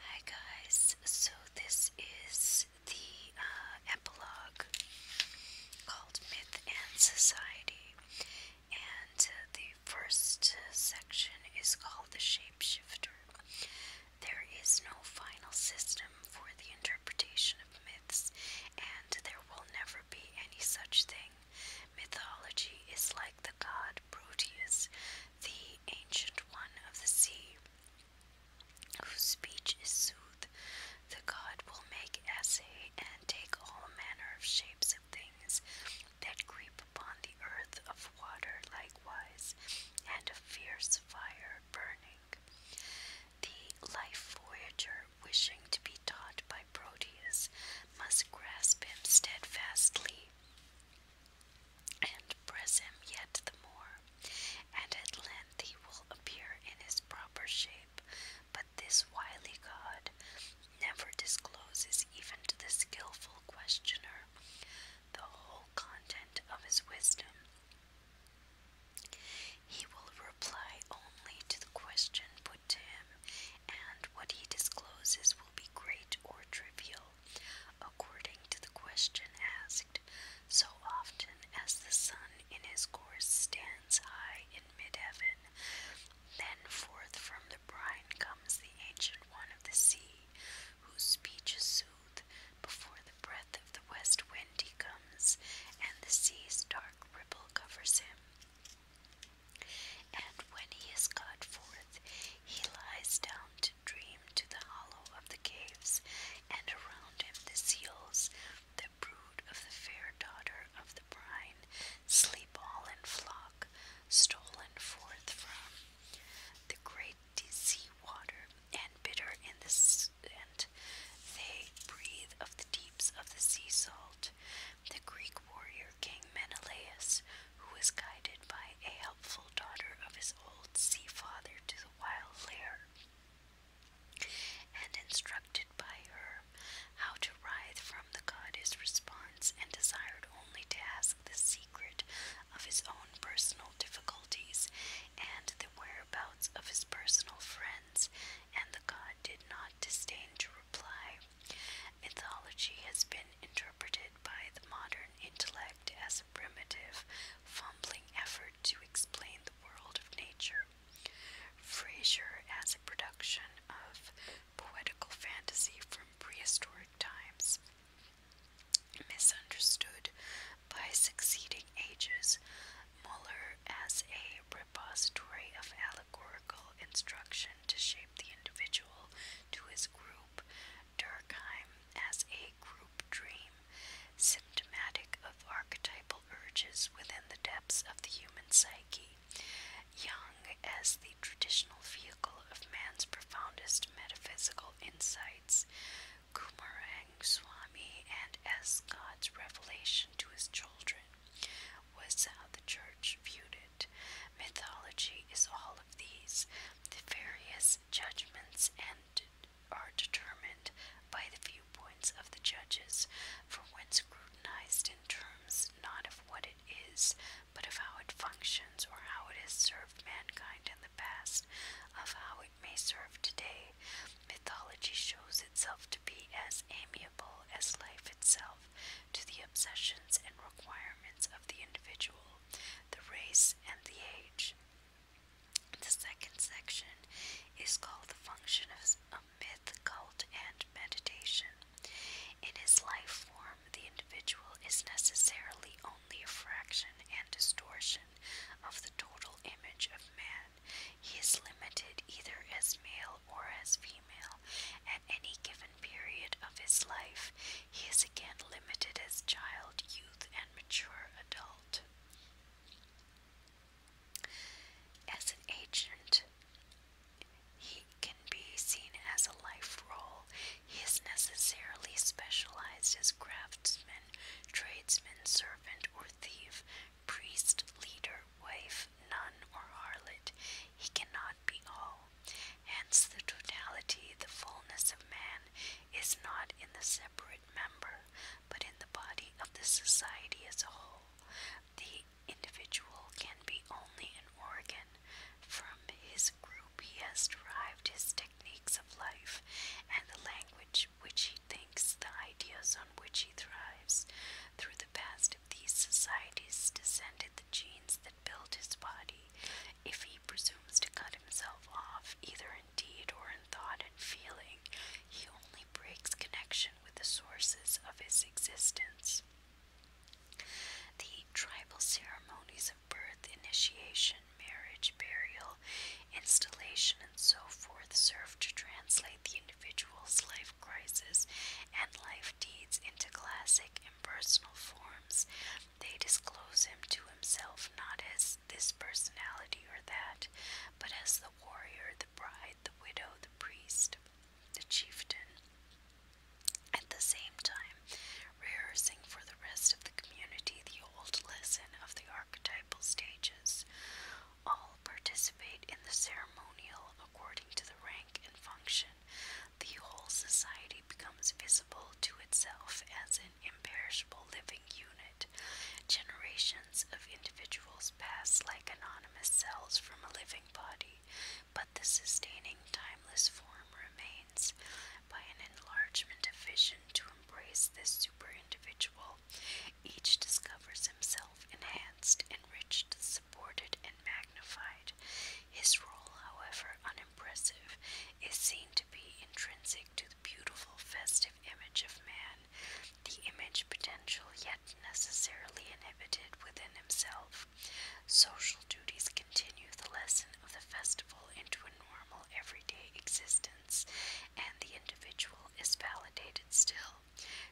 Hi guys, so this is the uh, epilogue called Myth and Society, and the first section is called The Shapeshifter. There is no final system for the interpretation of myths, and there will never be any such thing. Mythology is like the god Proteus, the ancient one of the sea, whose speech is sooth. The god will make essay and take all manner of shapes of things that creep upon the earth, of water likewise, and of fierce fire burning. The life voyager, wishing to be taught by Proteus, must grasp him steadfastly and press him yet the more, and at length he will appear in his proper shape. But this wily God never discloses even to the skilful questioner the whole content of his wisdom. He will reply only to the question put to him, and what he discloses will be great or trivial, according to the question asked. So often as the sun in his course stands high in mid heaven, then forth from the brine comes the ancient one of the sea, whose speech is soothed before the breath of the west wind he comes, and the sea's dark ripple covers him. And when he is got forth, he lies down to dream to the hollow of the caves, and around him the seals, the brood of the fair daughter of the brine, sleep all in flock, stolen forth from the great sea water, and bitter in the sand, they breathe of the deeps of the sea salt. The Greek warrior king Menelaus, who was guided by a helpful daughter of his old sea father to the wild lair, and instructed by her how to writhe from the god his response, and desired only to ask the secret of his own personal difficulties and the whereabouts of his personal friends, and the god did not disdain to reply. Mythology has been interpreted by the modern intellect as a primitive, fumbling effort to explain the world of nature. Fraser as a production of poetical fantasy from prehistoric times. Misunderstood by succeeding ages, Muller as a repository of allegorical instruction to shape the individual to his group. Durkheim as a group dream, symptomatic of archetypal urges within the depths of the human psyche. Young as the traditional vehicle of man's profoundest metaphysical insights, Kumarang Swami and as God's revelation to his children was how the church viewed it. Mythology is all of these, the various judgments and are determined by the viewpoints of the judges, for when scrutinized in terms not of what it is, but of how it functions or how it has served mankind in the past, of how it may serve today, mythology shows itself to be as amiable as life itself to the obsessions and requirements of the individual the race, and the age. The second section is called The Function of a Myth, Cult, and Meditation. In his life form, the individual is necessarily only a fraction and distortion of the total image of man. He is limited either as male or as female, at any given period of his life, he is again limited as child, youth, and mature adult. As an agent, he can be seen as a life role. He is necessarily specialized as craftsman, tradesman, servant, or thief, priest, leader, wife, nun, or harlot. He cannot be all. Hence, the totality, the fullness of man, is not in the separate member, but in the body of the society as a whole. The individual can be only an organ. From his group, he has derived his techniques of life and the language which he thinks, the ideas on which he thrives. Through the past of these societies descended genes that build his body if he presumes to cut himself off, either in deed or in thought and feeling, he only breaks connection with the sources of his existence. The tribal ceremonies of birth, initiation, marriage, burial, installation, and so forth serve to translate the individual's life crises and life deeds into classic impersonal forms they disclose him to himself not as this personality or that, but as the warrior, the bride, the widow, the priest, the chieftain. At the same time, rehearsing for the rest of the community the old lesson of the archetypal stages. All participate in the ceremonial according to the rank and function the whole society becomes visible to itself as an imperishable living unit. Generations of individuals pass like anonymous cells from a living body, but the sustaining timeless form remains. By an enlargement of vision to embrace this superindividual, each discovers himself enhanced, enriched, supported, and magnified. His role, however, on impressive is seen to be intrinsic to the beautiful, festive image of man, the image potential yet necessarily inhibited within himself. Social duties continue the lesson of the festival into a normal, everyday existence, and the individual is validated still.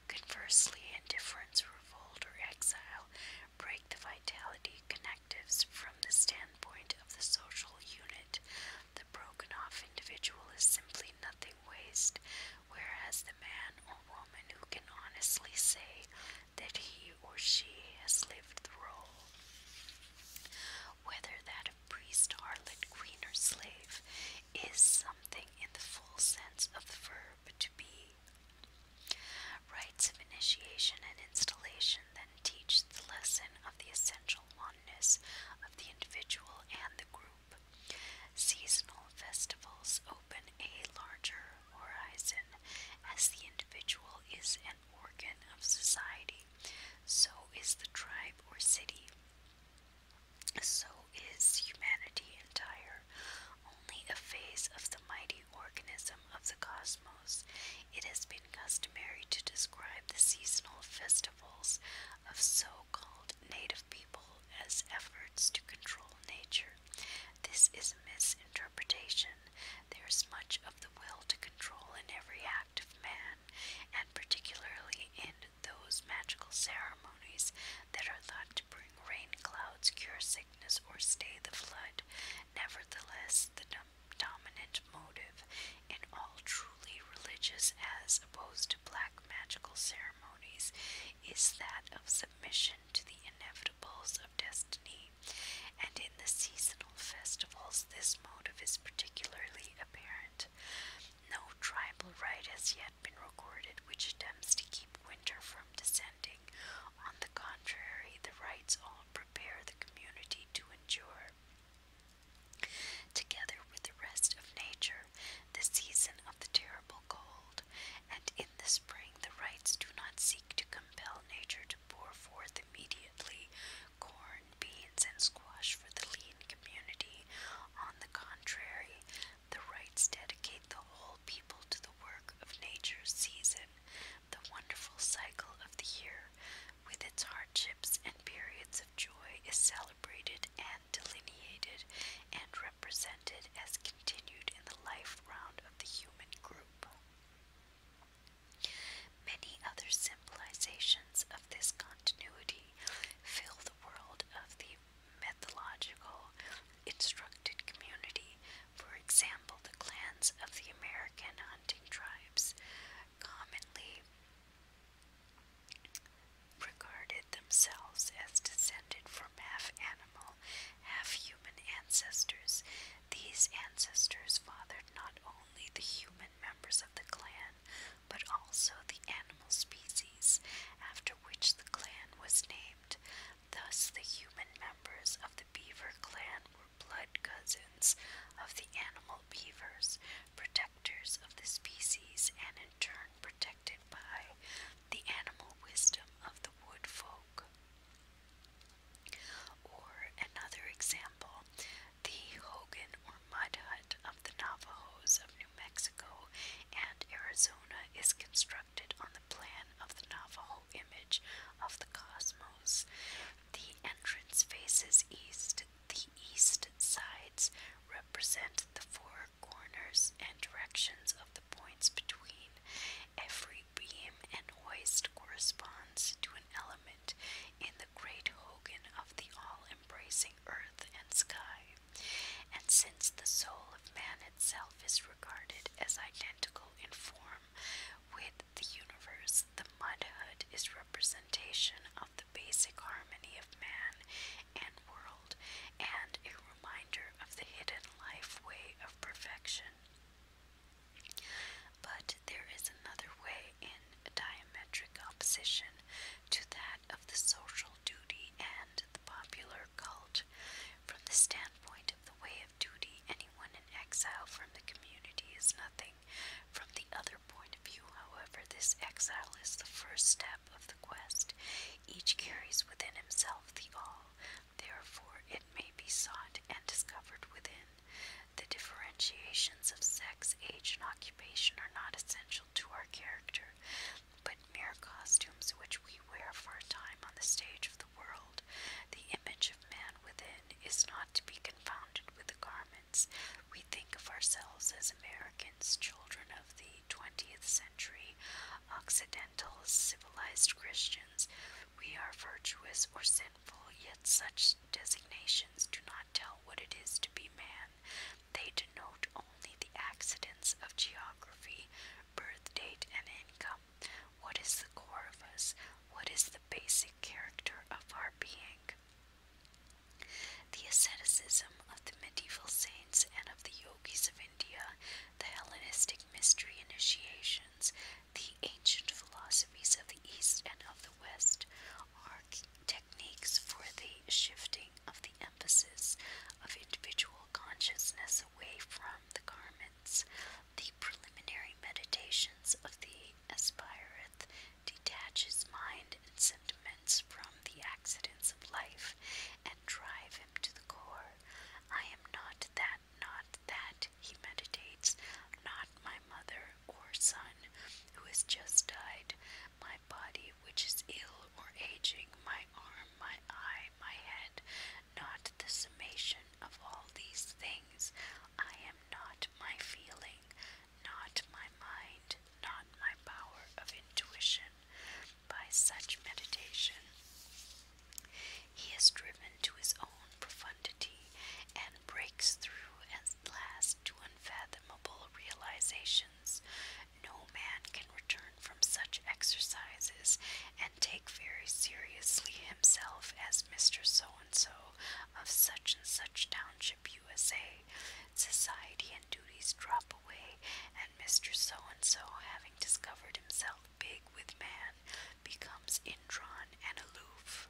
Conversely, indifference, revolt, or exile break the vitality, connection, from the standpoint of the social unit. The broken off individual is simply nothing waste, whereas the man or woman who can honestly say that he or she has lived through, whether that of priest, harlot, queen, or slave, is something in the full sense of the verb to be rites of initiation and installation then teach the lesson of the essential oneness of the individual and the group. Seasonal festivals open a larger horizon as the individual is an organ of society, so is the tribe or city. So is humanity entire, only a phase of the mighty organism of the cosmos it has been customary to describe the seasonal festivals of so called native people as efforts to control nature. This is a misinterpretation. There is much of the will to control in every act of man, and particularly in those magical ceremonies that are thought to bring rain clouds, cure sickness, or stay the flood. Nevertheless, the dominant motive in all truly religious, as opposed to black magical ceremonies, is that of submission to the inevitables of destiny. And in the seasonal festivals, this motive is particularly apparent. No tribal rite has yet been recorded which attempts to keep winter from descending. On the contrary, the rites all prepare the community to endure. Together with the rest of nature, the season of the terrible cold, and in the spring, the rites do not seek to compel nature to pour forth immediately corn, beans, and squash for the lean community. On the contrary, the rites dedicate the whole people to the work of nature's season, the wonderful cycle of the year, with its hardships and periods of joy, is celebrated and delineated and represented as continued in the life round of the human group. Many other symbolizations of this continuity fill the world of the mythological instructed community. For example, the clans of the American hunting tribes commonly regarded themselves as descended from half animal, half human ancestors. These ancestors fathered not only the human members of the clan, but also the animal species, after which the clan was named. Thus, the human members of beaver clan were blood cousins of the animal beavers, protectors of the species, and in turn protected by the animal wisdom of the wood folk. Or another example, the Hogan or mud hut of the Navajos of New Mexico and Arizona is constructed on the plan of the Navajo image of the cosmos. The entrance faces east. The east sides represent the four corners and directions of the points between. Every beam and hoist corresponds to an element in the great hogan of the all embracing earth and sky. And since the soul of man itself is regarded as identical in form with the universe, the mud hut is representation of the basic harmony of man and world, and a reminder of the hidden life way of perfection. But there is another way in diametric opposition to that of the social duty and the popular cult. From the standpoint of the way of duty, anyone in exile from the community is nothing from the other point of view, however, this exile is the first step of the quest. Each carries within himself the all, therefore, it may be sought and discovered within. The differentiations of sex, age, and occupation are not essential to our character, but mere costumes which we wear for a time on the stage of the world. The image of man within is not to be confounded with the garments we think of ourselves as Americans, children of the 20th century, Occidental, civilized Christians. We are virtuous or sinful, yet such designations do not tell what it is to be man. They denote only the accidents of geography, birth date, and income. What is the core of us? What is the basic character of our being. The asceticism of the medieval saints and of the yogis of India, the Hellenistic mystery initiations, the ancient philosophies of the East and of the West are techniques for the shifting of the emphasis of individual consciousness away from the garments. The preliminary meditations of the detach his mind and sentiments from the accidents of life, and drive him to the core. I am not that, not that, he meditates, not my mother or son, who has just died, my body which is ill or aging, my arm, my eye, my head, not the summation of all these things. I am not my feeling, not my mind, not my power of intuition, by such meditation. He is driven to his own profundity and breaks through at last to unfathomable realizations. No man can return from such exercises and take very seriously himself as Mr. So so of such and such township, USA, society and duties drop away, and Mr. So and so, having discovered himself big with man, becomes indrawn and aloof.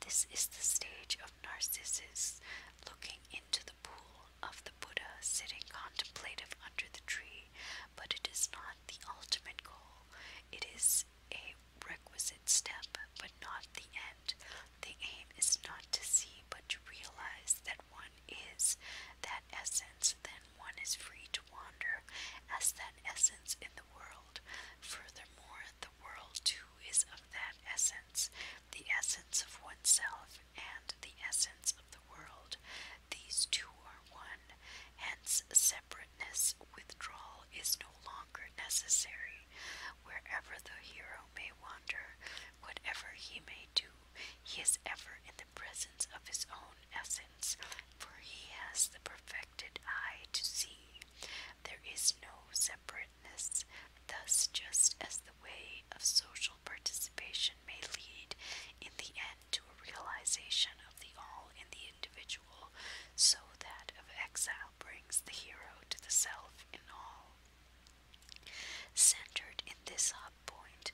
This is the stage of Narcissus looking into the pool of the Buddha, sitting contemplative under the tree, but it is not the ultimate goal. It is a requisite step, but not the end. The aim is not to see, but to realize that one is that essence. Then one is free to wander as that essence in the world. Furthermore, the world too is of that essence, the essence of oneself and the essence of the world. These two are one. Hence, separateness, withdrawal is no longer necessary wherever the hero may wander, whatever he may do, he is ever in the presence of his own essence, for he has the perfected eye to see. There is no separateness. Thus, just as the way of social participation may lead in the end to a realization of the all in the individual so that of exile brings the hero to the self in all. Centered in this hub point,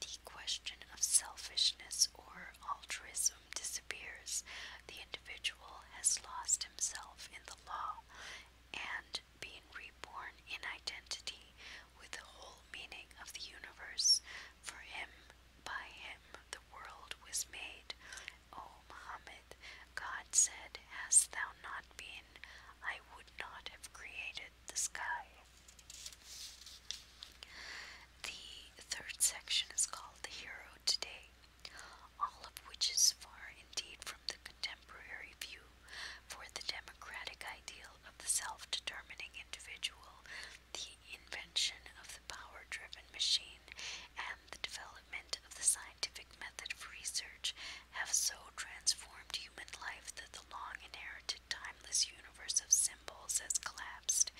the question of selfishness or altruism disappears. The individual has lost himself in the law and being reborn in identity with the whole meaning of the universe. For him, by him, the world was made, O Muhammad, God said, Hast thou not been, I would not have created the sky. The third section is called The Hero Today, all of which is far indeed from the contemporary view, for the democratic ideal of the self determining individual, the invention of the power driven machine and the development of the scientific method of research have so transformed human life that the long inherited timeless universe of symbols has collapsed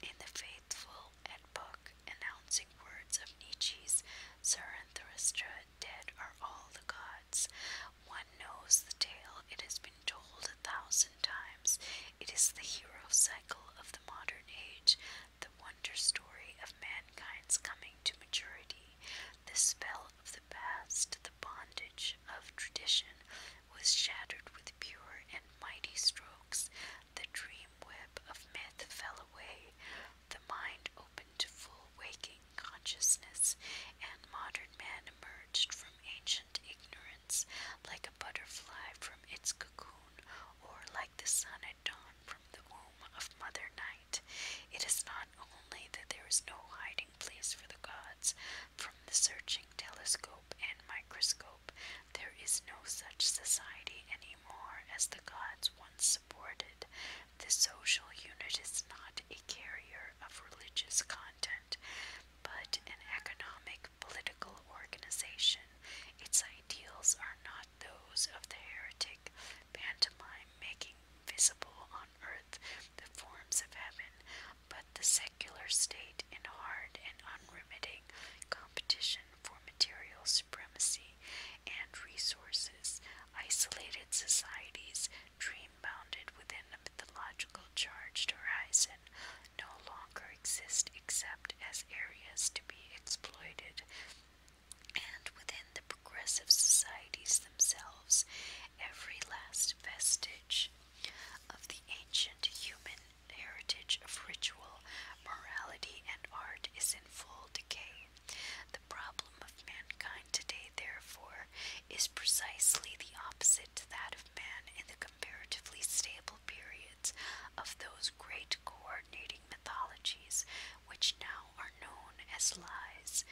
in the faithful and book announcing words of Nietzsche's Zarathustra dead are all the gods. One knows the tale, it has been told a thousand times. It is the hero cycle of the modern age, the one wonder story of mankind's coming to maturity, the spell of the past, the bondage of tradition was shattered with pure and mighty strokes. The dream web of myth fell away, the mind opened to full waking consciousness, and modern man emerged from ancient ignorance like a butterfly from its cocoon or like the sun at dawn from from the womb of Mother Night. It is not only that there is no hiding place for the gods from the searching telescope and microscope, there is no such society anymore as the gods once supported. The social unit is not a carrier of religious content, but an economic, political organization. Its ideals are not those of the heretic pantomime, making visible on earth the forms of heaven, but the secular state in hard and unremitting competition for material supremacy and resources, isolated societies, dream bounded within a mythological charged horizon, no longer exist except as areas to be exploited and within the progressive societies themselves, every last vestige of the ancient human heritage of ritual, morality, and art is in full decay. The problem of mankind today, therefore, is precisely the opposite to that of man in the comparatively stable periods of those great core coordinating mythologies, which now are known as lies.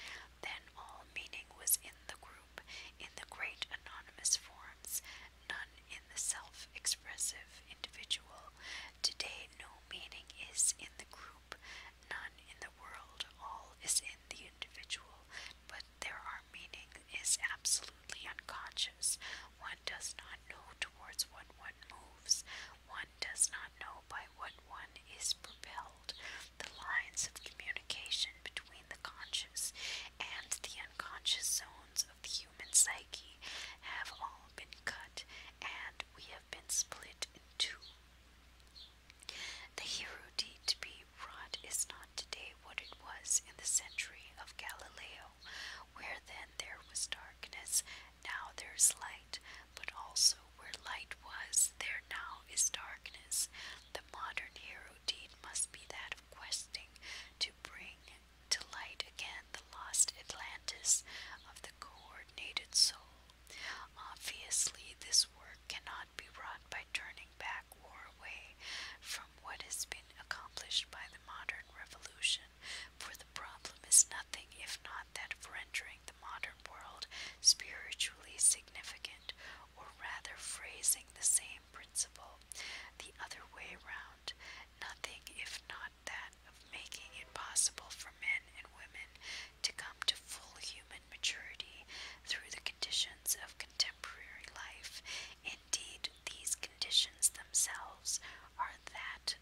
Then all meaning was in the group, in the great anonymous forms, none in the self expressive individual. Today, no meaning is in the group, none in the world, all is in the individual, but there are meaning is absolutely unconscious. One does not know towards what one moves one does not know by what one is propelled, the lines of communication between the conscious and the unconscious zones of the human psyche have all been cut, and we have been split in two. The Herodite to be wrought is not today what it was in the century of Galileo, where then there was darkness, now there is light, but also where light was, there now is darkness. The modern hero deed must be that of questing to bring to light again the lost Atlantis of the coordinated soul. Obviously, this work cannot be wrought by turning back or away from what has been accomplished by the modern revolution, for the problem is nothing if not that for entering the modern world spiritually significant, or rather phrasing the same principle the other way round, nothing if not that of making it possible for men and women to come to full human maturity through the conditions of contemporary life. Indeed, these conditions themselves are that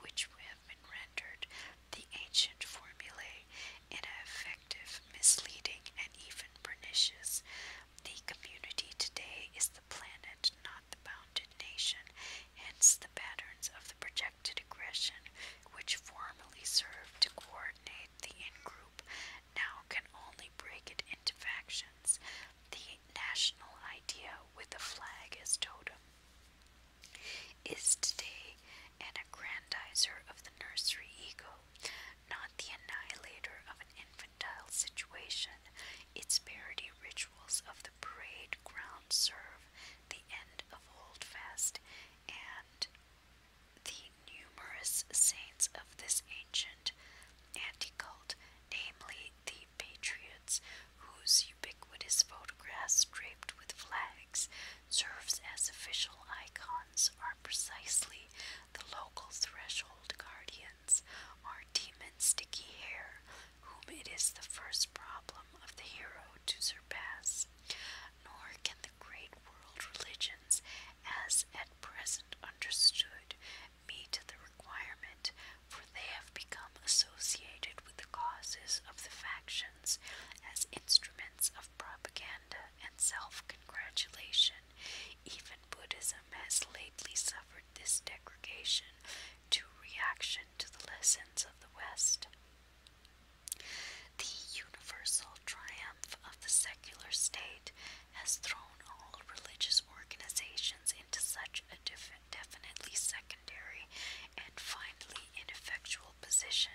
which have been rendered the ancient formulae ineffective, misleading, and even pernicious. The community today is the planet, not the bounded nation, hence the patterns of the projected aggression, which formerly served to coordinate the in-group, now can only break it into factions. The national idea with the flag as totem is today an aggrandizer of the nursery ego, not the annihilator of an infantile situation. Its parody rituals of the parade ground serve the end of Holdfast and the numerous saints of this ancient anti-cult, namely the patriots whose ubiquitous photographs draped with flags serves as official icons are precisely the local threshold guardians, our demon sticky hair, whom it is the first problem of the hero to surpass. Nor can the great world religions, as at present understood, meet the requirement, for they have become associated with the causes of the faction as instruments of propaganda and self congratulation. Even Buddhism has lately suffered this degradation to reaction to the lessons of the West. The universal triumph of the secular state has thrown all religious organizations into such a definitely secondary and finally ineffectual intellectual position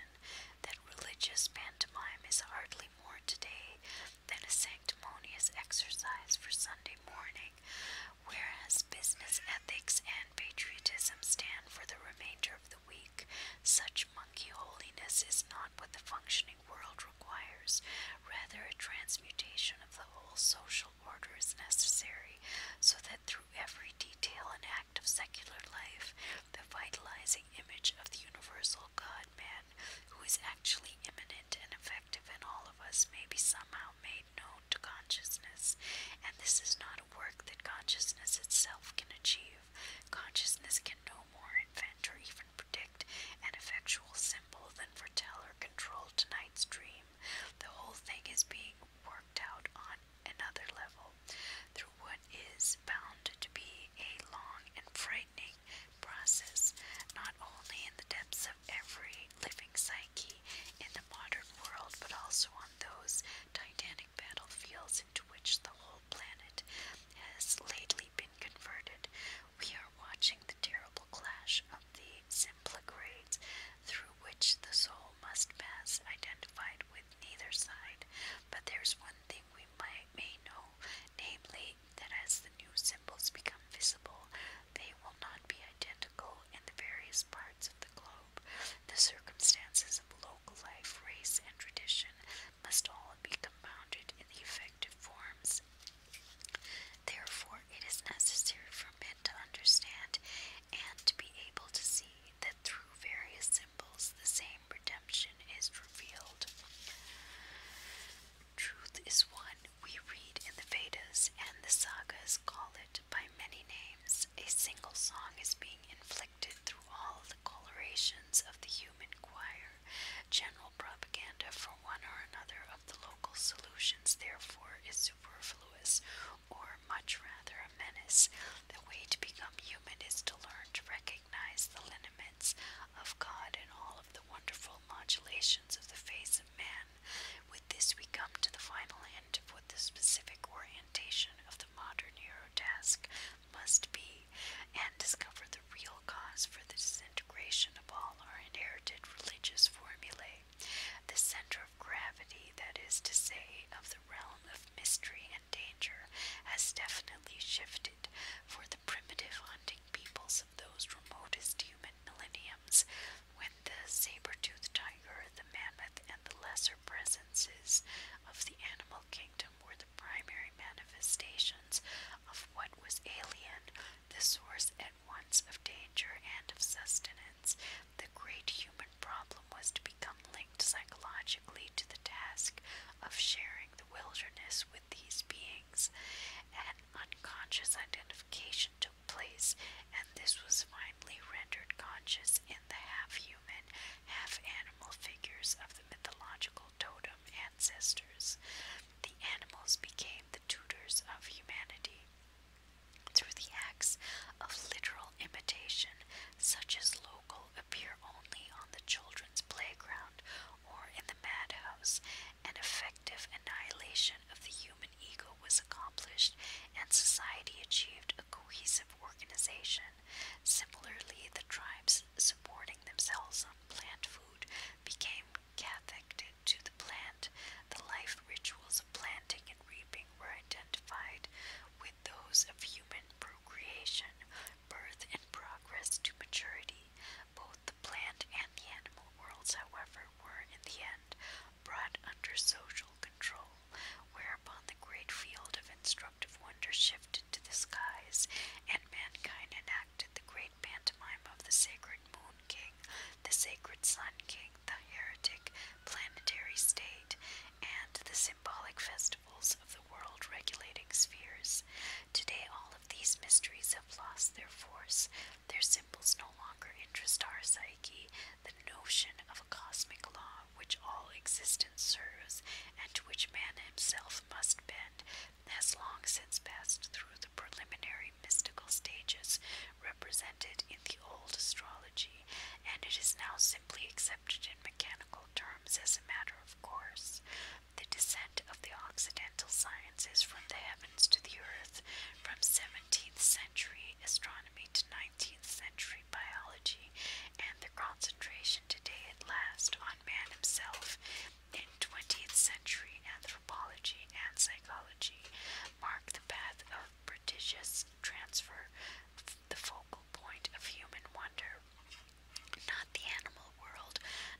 that religious pantomime is hardly more today than a sanctimonious exercise for Sunday morning, whereas business ethics and patriotism stand for the remainder of the week. Such monkey holiness is not what the functioning world requires. Rather, a transmutation of the whole social order is necessary so that through every detail and of secular life, the vitalizing image of the universal God man, who is actually immanent and effective in all of us, may be somehow made known to consciousness, and this is not a work that consciousness itself can achieve. Consciousness can no more invent or even predict an effectual symbol than foretell or control tonight's dream. The whole thing is being worked out on another level, through what is bound to be a long and frightening process, not only in the depths of every living psyche in the modern world, but also on those titanic battlefields into which the whole planet has lately been converted. We are watching the terrible clash of the simpler grades through which the soul must pass, identified with neither side, but there's one thing we might, may know, namely that as the new symbols become visible, they will not be identical in the various parts of the globe. The circumstances of local life, race, and tradition must all be compounded in the effective forms. Therefore, it is necessary for men to understand and to be able to see that through various symbols the same redemption is revealed. Truth is one we read in the Vedas and the sagas call it by many names. A single song is being inflicted through all the colorations of the human choir, general propaganda for one or another of the local solutions, therefore, is superfluous or much rather a menace. The way to become human is to learn to recognize the lineaments of God and all of the wonderful modulations of the face of man. With this, we come to the final end of what the specific orientation of the modern Eurotask must be, and discover the real cause for the disintegration of all our inherited religious formulae. The center of gravity, that is to say, of the realm of mystery danger has definitely shifted for the primitive hunting peoples of those remotest human millenniums when the saber-toothed tiger, the mammoth, and the lesser presences of the animal kingdom were the primary manifestations of what was alien, the source at once of danger and of sustenance, the great human problem was to become linked psychologically to the task of sharing the wilderness with these beings. An unconscious identification took place, and this was finally rendered conscious in the half human, half animal figures of the mythological totem ancestors. The animals became the tutors of humanity. Through the acts of literal imitation, such as local appear only on the children's playground or in the madhouse, an effective annihilation of the human ego was accomplished and society achieved a cohesive organization. Similarly, the tribes supporting themselves on plant food became cathected to the plant. The life rituals of planting and reaping were identified with those of human procreation, birth, and progress to maturity. Both the plant and the animal worlds, however, were in the end brought under social control, whereupon the great field of instructive wonder shifted to the skies, and mankind enacted the great pantomime of the sacred moon king, the sacred sun king, the heretic planetary state, and the symbolic festivals of the world regulating spheres. Today, all of these mysteries have lost their force. Their symbols no longer interest our psyche. The notion of a cosmic law which all existence serves and to which man himself must bend has long since passed through the preliminary mystical stages represented in the old astrology, and it is now simply accepted in mechanical terms as a matter of course. The descent of the Occidental sciences from the heavens to the earth, from 17th century astronomy to 19th century biology, and the concentration today at last on man himself in 20th century anthropology and psychology, mark the path of prodigious transfer the focal point of human wonder. Not the animal world,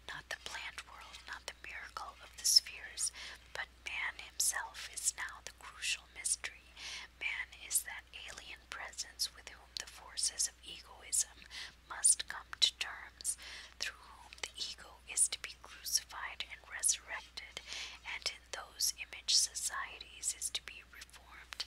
not the plant world, not the miracle of the spheres, but man himself is now the crucial mystery. Man is that alien presence with whom the forces of egoism must come to terms, through whom the ego is to be crucified and resurrected, and in those image societies is to be reformed.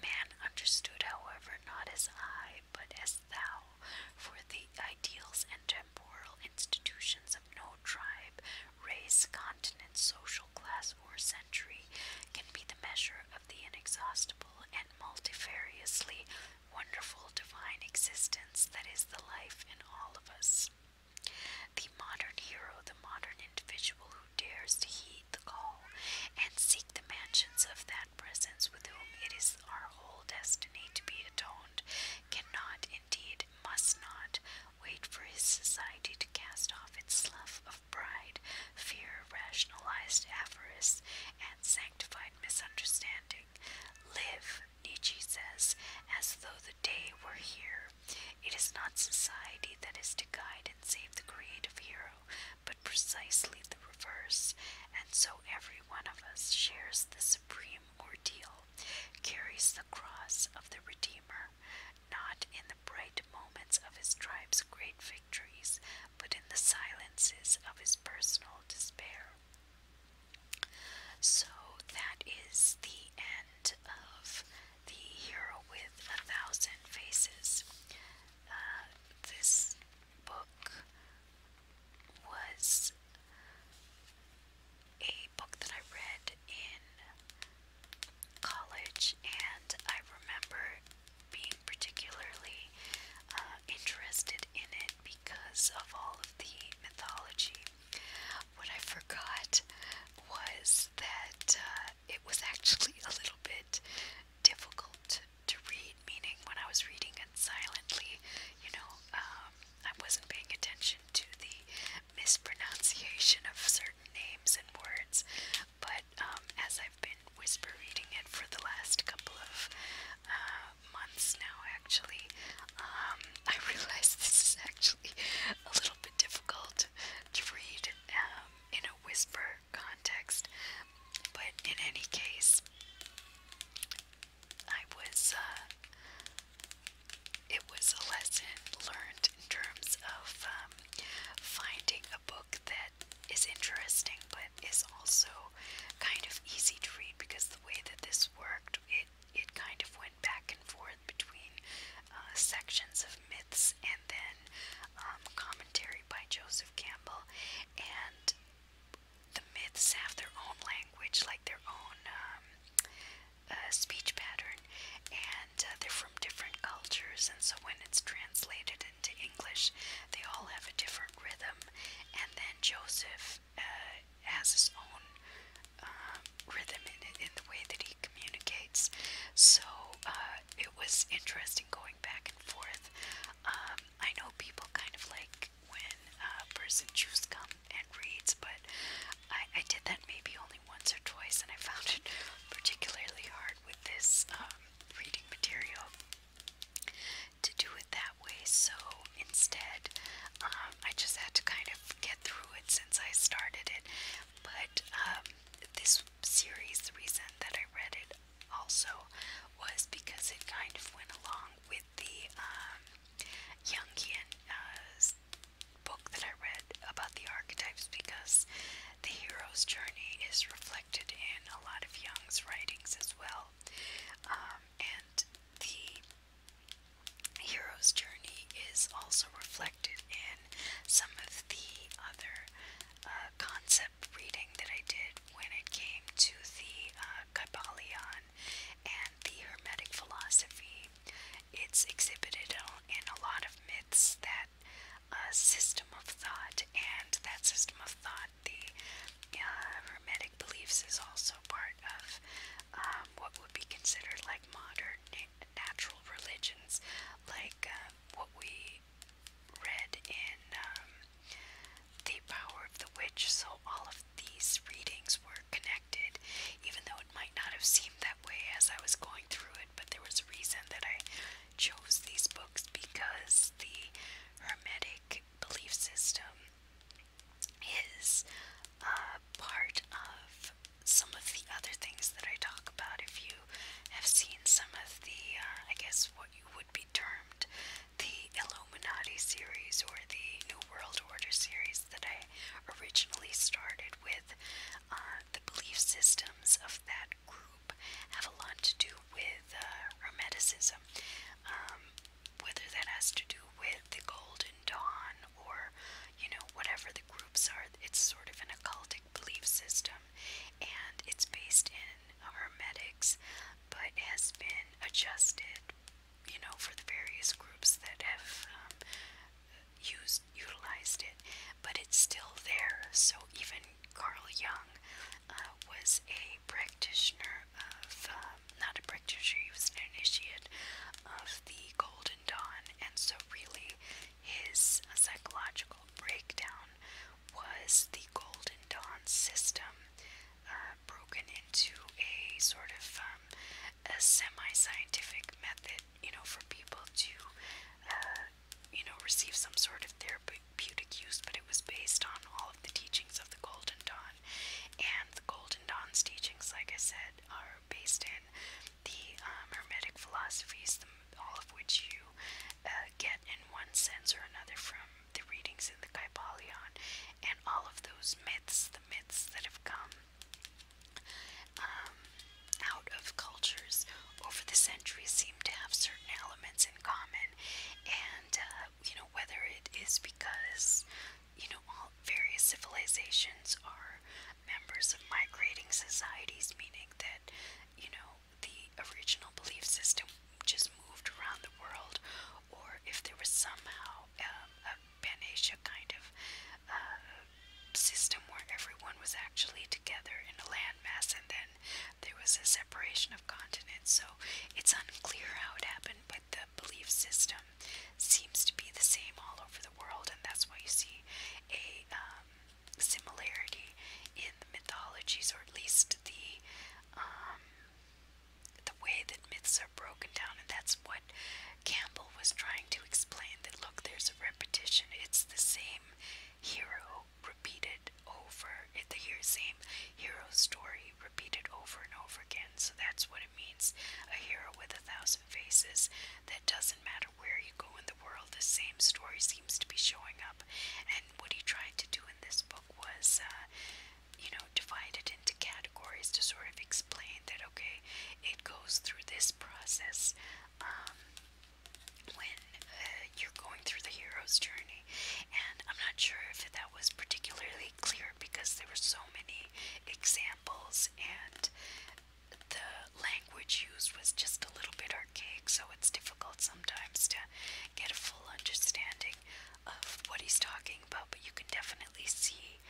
Man understood, however, not as I, but as thou, for the ideals and temporal institutions of no tribe, race, continent, social class, or century can be the measure of the inexhaustible and multifariously wonderful divine existence that is the life in all of us. The modern hero, the modern individual who dares to heed the call, and seek the mansions of that presence with whom it is our whole destiny to be atoned, cannot, indeed, must not, wait for his society to cast off its slough of pride, fear, rationalized avarice, and sanctified misunderstanding. Live, Nietzsche says, as though the day were here. It is not society that is to guide and save the creative hero, but precisely the reverse, and so every one of us shares the supreme ordeal, carries the cross of the Redeemer, not in the bright moments of his tribe's great victories, but in the silences of his personal despair. So that is the end of the hero with a thousand faces. Uh, this book was a book that I read in college, and I remember being particularly uh, interested in it because of all of the mythology. What I forgot was that uh, it was actually a little bit difficult to read, meaning when I was reading it silently, you know, um, I wasn't paying attention to the mispronunciation of certain names and words. But um, as I've been whisper reading it for the last couple of uh, months now, actually, um, I realized this is actually a little bit difficult to read um, in a whisper context. But in any case, I was, uh, it was a lesson learned in terms of um, finding a book that is interesting but is also kind of easy to read because the way that this worked, it, it kind of went back and forth between uh, sections of myths and then um, commentary by Joseph Campbell, and the myths have their own language, like their own um, uh, speech pattern, and uh, they're from different cultures, and so when it's translated into English, they all have a different rhythm, and then Joseph uh, has his own um, rhythm in, in the way that he communicates. So uh, it was interesting going back and forth. Um, I know people kind of like when a person chews gum and reads, but I, I did that maybe only once or twice, and I found it particularly hard with this um, reading material to do it that way. So instead, um, I just had to kind of get through it since I started it. But um, this series, the reason that I read it also was because it kind of went along with the um, Jungian uh, book that I read about the archetypes because the hero's journey is reflected in a lot of Jung's writings as well. Um, and the hero's journey is also reflected in some of the other uh, concepts reading that I did when it came to the uh, and the Hermetic philosophy, it's exhibited in a lot of myths that uh, system of thought, and that system of thought, the uh, Hermetic beliefs, is also part of um, what would be considered like modern natural religions, like uh, what we read in um, The Power of the Witch, so all of these readings were connected, even though it might not have seemed that way as I was going through it, but there was a reason that I chose these books because the Hermetic belief system is uh, part of some of the other things that I talk about. If you have seen some of the, uh, I guess what what you would be termed the Illuminati series or the New World Order series that I originally started with. Uh, the belief systems of that group have a lot to do with uh, Hermeticism, um, whether that has to do with the Golden Dawn or, you know, whatever the groups are. It's sort of an occult belief system and it's based in Hermetics but has been adjusted, you know, for the various groups that have um, used, utilized it. But it's still there. So even Carl Jung uh, was a practitioner of, uh, not a practitioner, he was an initiate of the Golden Dawn. And so, really, his psychological breakdown was the Golden Dawn system uh, broken into a sort of um, a semi-scientific method, you know, for people to, uh, you know, receive some sort of therapeutic use, but it was based on all of the teachings of the Golden Dawn. And the Golden Dawn's teachings, like I said, are based in the um, Hermetic philosophies, the, all of which you uh, get in one sense or another from the readings in the Kybalion and all of those myths, the myths that have come um, out of cultures over the centuries seem to have certain elements in common. And, uh, you know, whether it is because, you know, all various civilizations are members of migrating societies, meaning that, you know, the original belief system just moved around the world, or if there was somehow um, a Pan-Asia kind of uh, system where everyone was actually together in a landmass, and then there was a separation of continents. So it's unclear how it happened, but the belief system seems to be the same all over the world, and that's why you see a um, similarity in the mythologies, or at least the um, the way that myths are broken down, and that's what Campbell was trying to explain. That look, there's a repetition. It's the same hero repeated over. It's the same hero story repeated over and over again. So that's what it means. A hero with a thousand faces. That doesn't matter where you go in the world. The same stories seems to be showing up. And what he tried to do in this book was, uh, you know, divide it into categories to sort of explain that, okay, it goes through this process um, when uh, you're going through the hero's journey. And I'm not sure if that was particularly clear because there were so many examples and the language used was just a little bit archaic, so it's difficult sometimes to get a full understanding of what he's talking about, but you can definitely see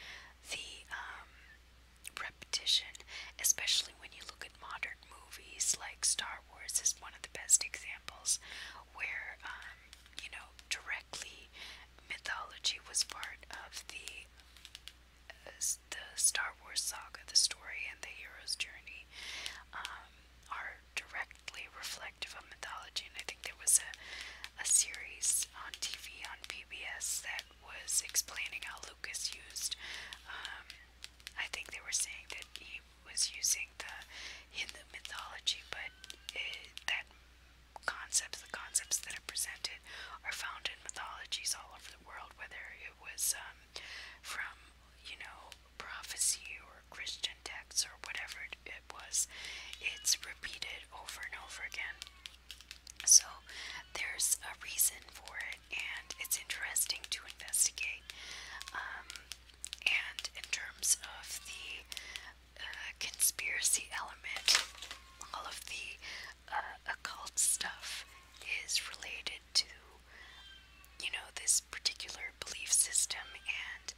the um, repetition, especially when you look at modern movies like Star Wars is one of the best examples where um, you know directly mythology was part of the uh, the Star Wars saga, the story and the hero's journey um, are directly reflective of mythology. And I think there was a, a series on TV on PBS that was explaining how Lucas used, um, I think they were saying that he was using the Hindu mythology, but it, that concepts, the concepts that are presented, are found in mythologies all over the world, whether it was um, from, you know, prophecy or Christian texts or whatever it was, it's repeated over and over again. So there's a reason for it, and it's interesting to investigate. Um, and in terms of the uh, conspiracy element, all of the uh, occult stuff is related to you know, this particular belief system and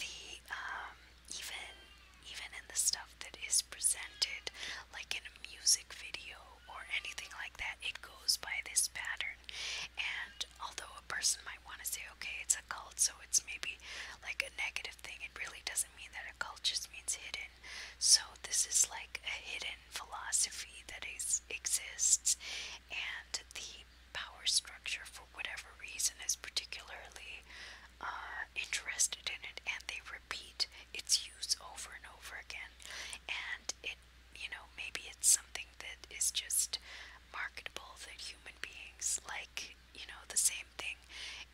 the, um, even, even in the stuff that is presented, like in a music video or anything like that, it goes by this pattern. And although a person might want to say, okay, it's a cult, so it's maybe like a negative thing, it really doesn't mean that a cult just means hidden. So this is like a hidden philosophy that is exists, and the the power structure for whatever reason is particularly uh, interested in it and they repeat its use over and over again and it you know maybe it's something that is just marketable that human beings like you know the same thing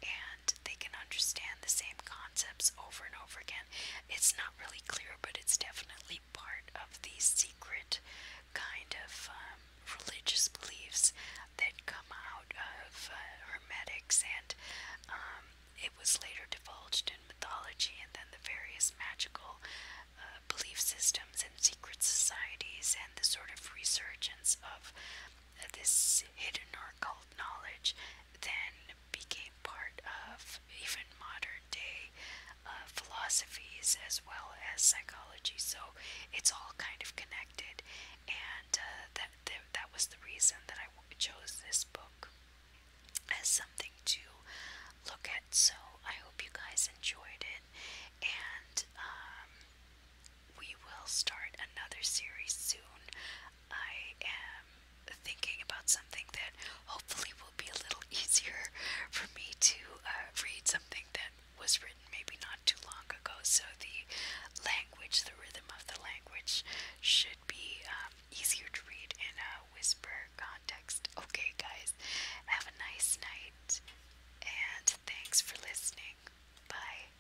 and they can understand the same concepts over and over again it's not really clear but it's definitely big part of the secret kind of um, religious beliefs that come out of uh, Hermetics, and um, it was later divulged in mythology and then the various magical uh, belief systems and secret societies, and the sort of resurgence of uh, this hidden or occult knowledge then became part of even modern day uh, philosophies as well as psychology. So it's all kind of connected, and uh, that, that was the reason that I chose this book as something to look at. So I hope you guys enjoyed it, and um, we will start another series soon. I am thinking about something that hopefully will be a little easier for me to uh, read something that was written maybe not too long ago. So the language, the rhythm of the language, should be um, easier to read in a whisper context. Okay, guys, have a nice night and thanks for listening. Bye.